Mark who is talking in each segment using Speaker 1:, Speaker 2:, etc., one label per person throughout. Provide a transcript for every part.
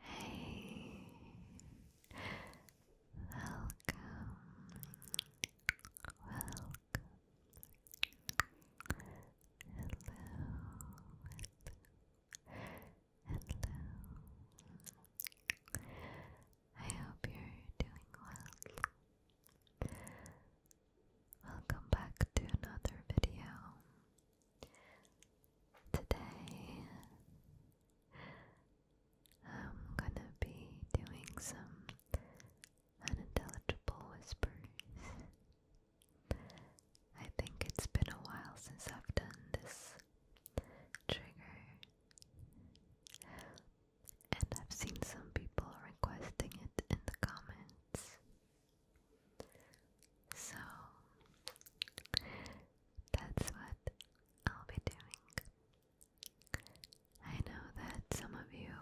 Speaker 1: Hey, welcome, welcome. Hello, hello, hello. I hope you're doing well. Welcome back to another video. Today I'm gonna be doing some unintelligible whispers. I think it's been a while since I've done this trigger and I've seen some people requesting it in the comments. So that's what I'll be doing. I know that some of you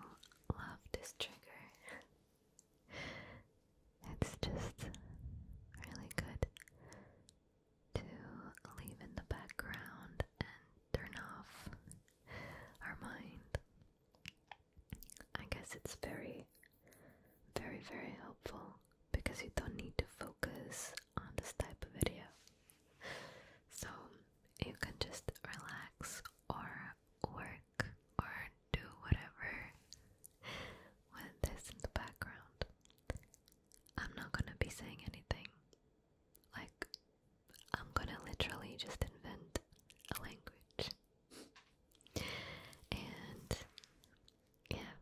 Speaker 1: love this trigger. it's just really good to leave in the background and turn off our mind. I guess it's very, very, very helpful because you don't need to focus on this type of video. So you can just relax or work or do whatever
Speaker 2: with this in the background. I'm not gonna be saying anything like I'm gonna literally just invent a language. and yeah,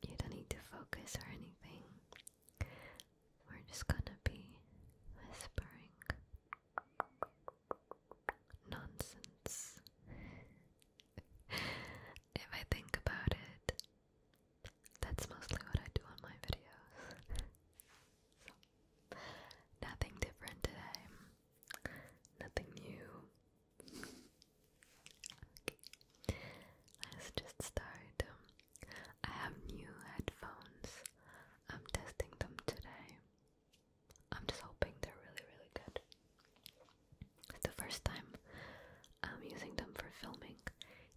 Speaker 2: you don't need to focus or anything. We're just gonna be
Speaker 3: whispering nonsense. if I think about it, that's mostly what I do on my videos. Nothing different today. Nothing new.
Speaker 4: Let's just start. I have new headphones. I'm testing them today. I'm just hoping they're really, really good. It's the first time I'm using them for filming.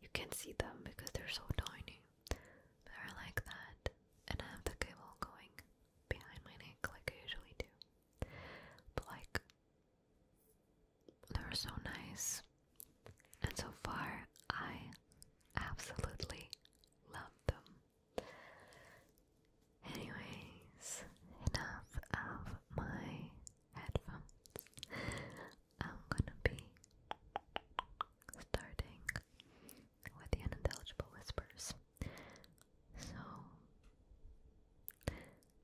Speaker 4: You can see them because they're so tiny that are like that, and I have the cable going behind my
Speaker 5: neck like I usually do. But like, they're so nice, and so far I absolutely love them. Anyways, enough of my headphones. I'm gonna be starting with the unintelligible whispers. So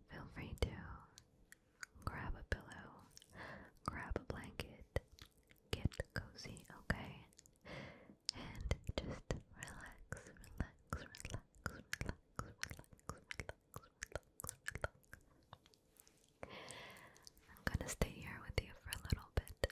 Speaker 5: feel free to grab a pillow, grab a blanket, get cozy, okay? And just relax, relax, relax, relax, relax, relax, relax, relax. I'm gonna stay here with you for a little bit.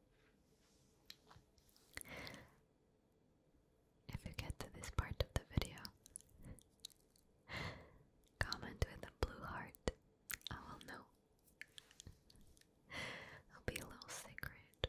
Speaker 5: If you get to this part of the video, comment with a blue heart. I will know. It'll be a little secret.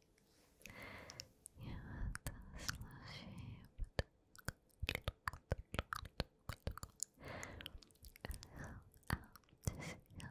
Speaker 5: You have the you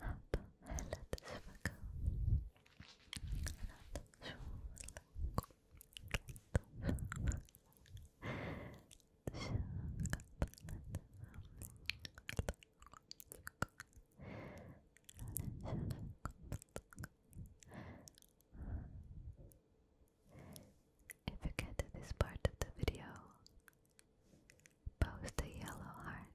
Speaker 5: هذا هلا if you get to this part of the video, post a yellow heart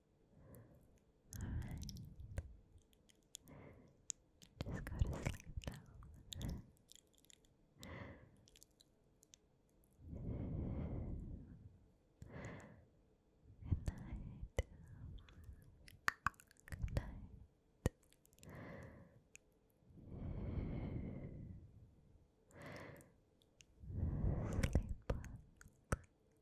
Speaker 5: Alright. Just go to sleep now. Good night. Good night. Sleep